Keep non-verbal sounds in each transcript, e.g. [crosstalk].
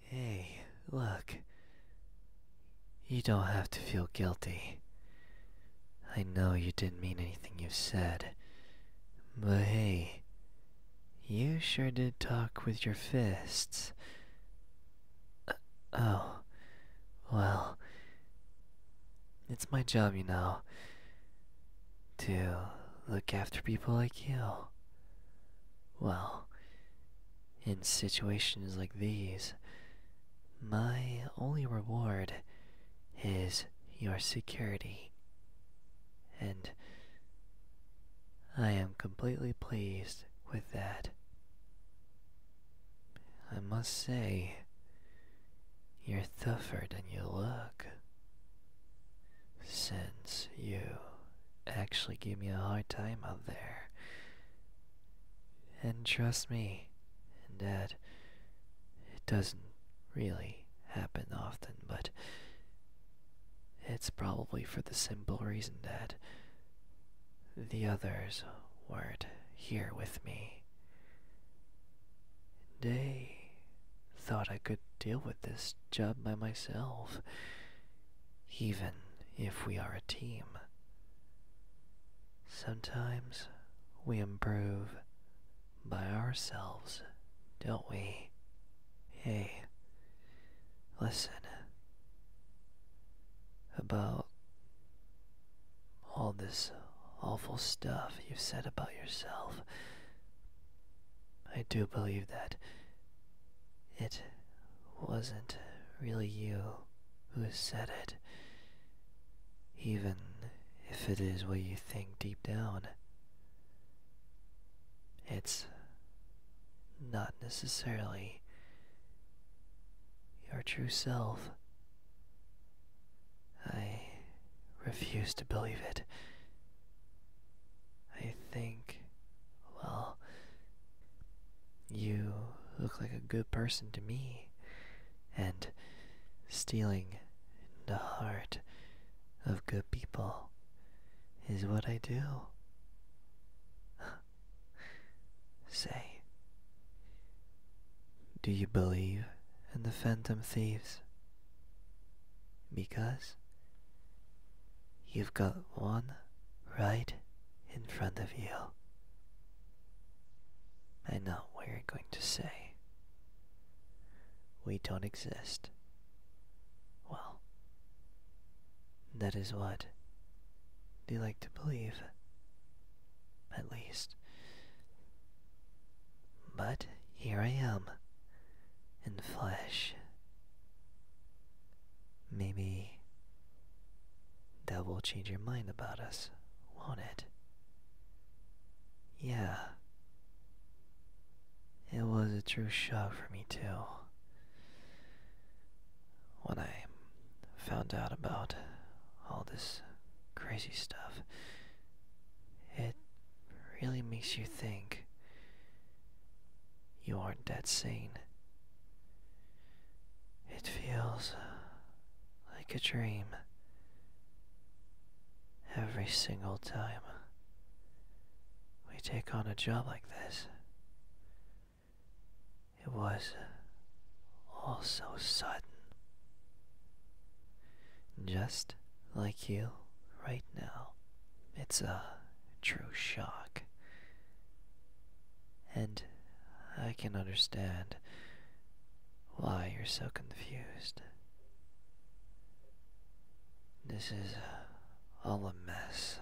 Hey, look. You don't have to feel guilty. I know you didn't mean anything you said. But hey, you sure did talk with your fists oh. Well. It's my job, you know, to look after people like you. Well, in situations like these, my only reward is your security. And I am completely pleased with that. I must say, you're tougher than you look. Since you actually give me a hard time out there. And trust me, in that it doesn't really happen often, but it's probably for the simple reason that the others weren't here with me. They thought I could deal with this job by myself, even if we are a team. Sometimes we improve by ourselves, don't we? Hey, listen. About all this awful stuff you've said about yourself. I do believe that it wasn't really you who said it, even if it is what you think deep down. It's not necessarily your true self. I refuse to believe it. I think, well, you look like a good person to me, and stealing the heart of good people is what I do. Say, do you believe in the phantom thieves? Because you've got one right in front of you. I know what you're going to say. We don't exist. Well, that is what they like to believe, at least. But here I am, in flesh. Maybe that will change your mind about us, won't it? Yeah. It was a true shock for me, too when I found out about all this crazy stuff, it really makes you think you aren't that sane. It feels like a dream every single time. We take on a job like this, it was all so sudden. Just like you right now. It's a true shock. And I can understand why you're so confused. This is all a mess.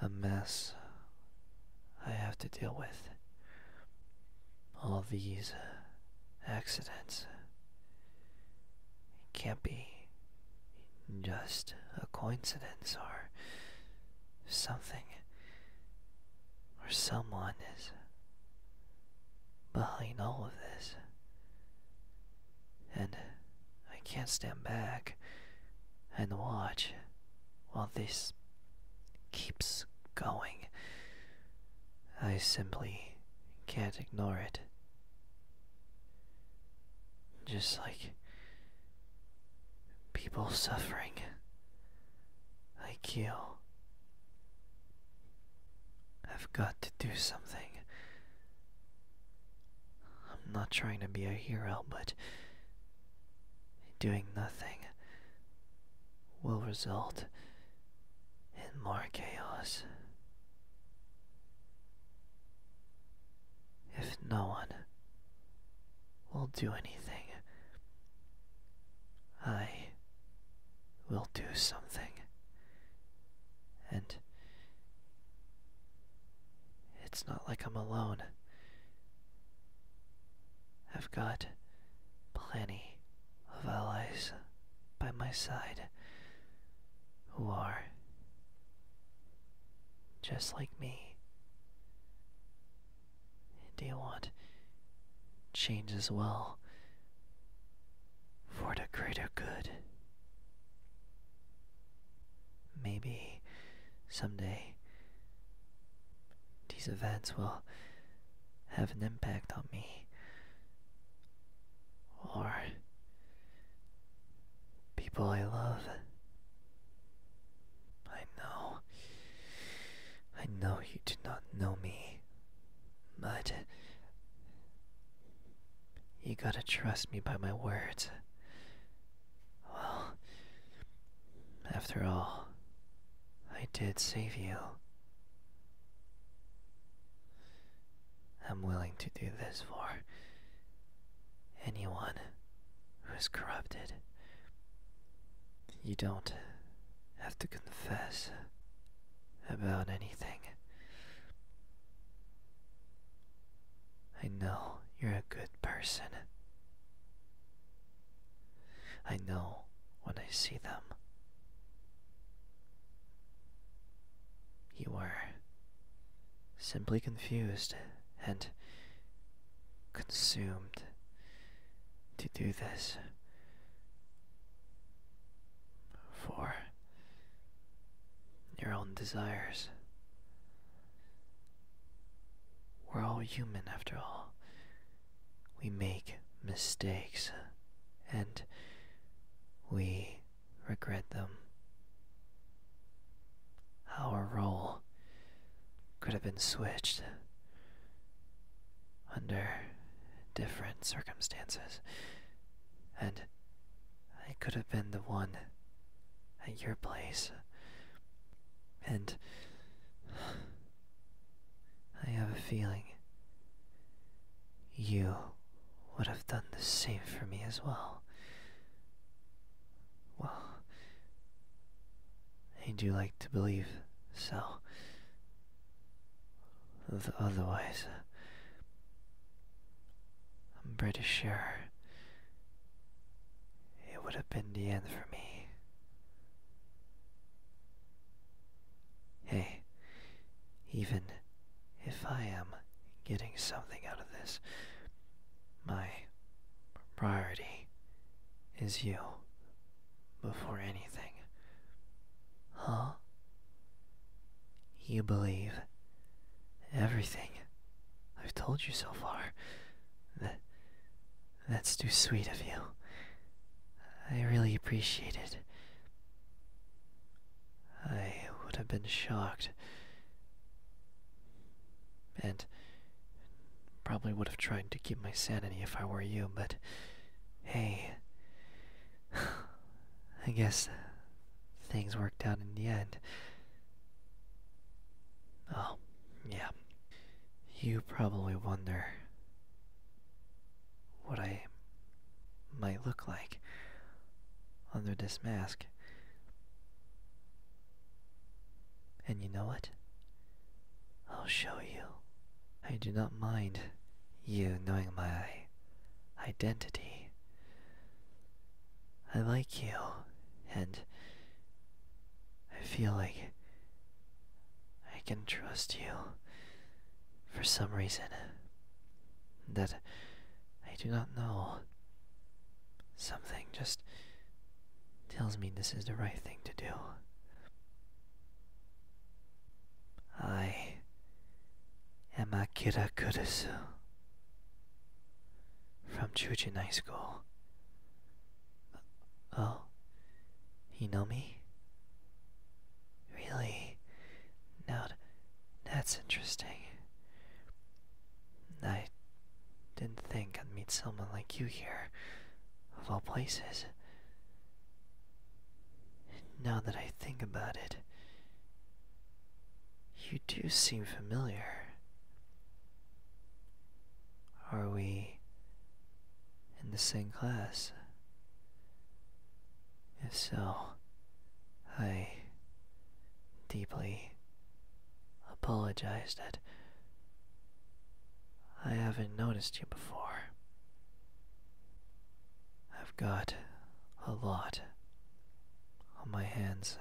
A mess I have to deal with. All these uh, accidents. It can't be just a coincidence or something or someone is behind all of this and I can't stand back and watch while this keeps going. I simply can't ignore it. Just like people suffering, I kill. I've got to do something. I'm not trying to be a hero, but doing nothing will result in more chaos. If no one will do anything, I will do something. And it's not like I'm alone. I've got plenty of allies by my side who are just like me. Do you want change as well? for the greater good. Maybe someday these events will have an impact on me, or people I love. I know, I know you do not know me, but you gotta trust me by my words. Well, after all, I did save you. I'm willing to do this for anyone who's corrupted. You don't have to confess about anything. I know you're a good person. I know when I see them. You were simply confused and consumed to do this for your own desires. We're all human after all. We make mistakes and we regret them. Our role could have been switched under different circumstances. And I could have been the one at your place. And I have a feeling you would have done the same for me as well. Well, I do like to believe so. Otherwise, uh, I'm pretty sure it would have been the end for me. Hey, even if I am getting something out of this, my priority is you before anything. Huh? You believe everything I've told you so far. That, that's too sweet of you. I really appreciate it. I would have been shocked. And probably would have tried to keep my sanity if I were you, but hey. I guess things worked out in the end. Oh, yeah. You probably wonder what I might look like under this mask. And you know what? I'll show you. I do not mind you knowing my identity. I like you, and I feel like I can trust you for some reason that I do not know. Something just tells me this is the right thing to do. I am Akira Kurusu from Chujin High School. Oh, you know me? Really? Now that's interesting. I didn't think I'd meet someone like you here, of all places. Now that I think about it, you do seem familiar. Are we in the same class? If so, I deeply apologize that I haven't noticed you before. I've got a lot on my hands,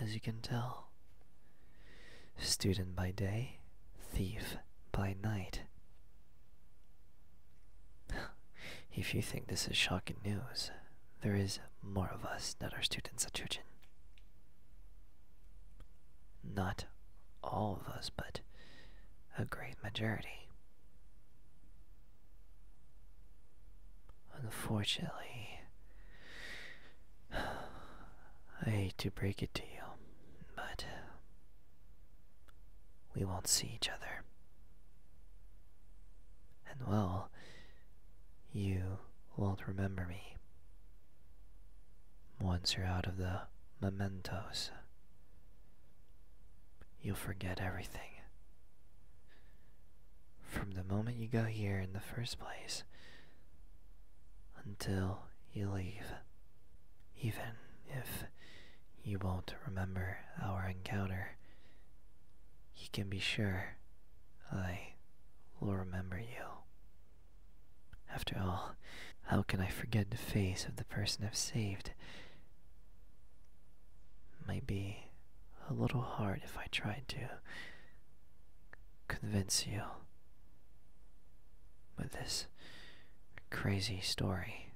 as you can tell. Student by day, thief by night. [laughs] if you think this is shocking news, there is more of us that are students at Chuchin. Not all of us, but a great majority. Unfortunately, I hate to break it to you, but we won't see each other. And well, you won't remember me once you're out of the mementos You'll forget everything. From the moment you go here in the first place until you leave, even if you won't remember our encounter, you can be sure I will remember you. After all, how can I forget the face of the person I've saved? Might be a little hard if I tried to convince you with this crazy story,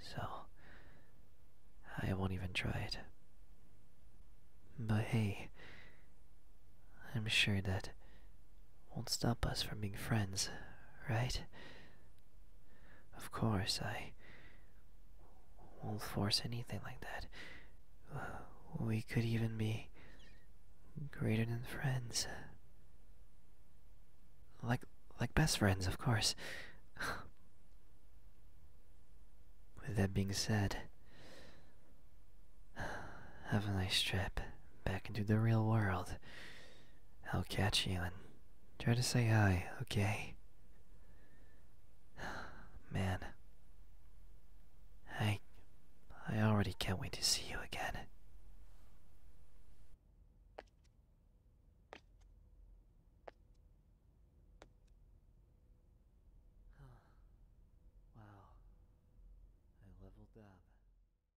so I won't even try it. But hey, I'm sure that won't stop us from being friends, right? Of course, I won't force anything like that. Uh, we could even be greater than friends. Like like best friends, of course. [sighs] With that being said, have a nice trip back into the real world. I'll catch you and try to say hi, okay? [sighs] Man, I, I already can't wait to see you again. [sighs] wow, I leveled up.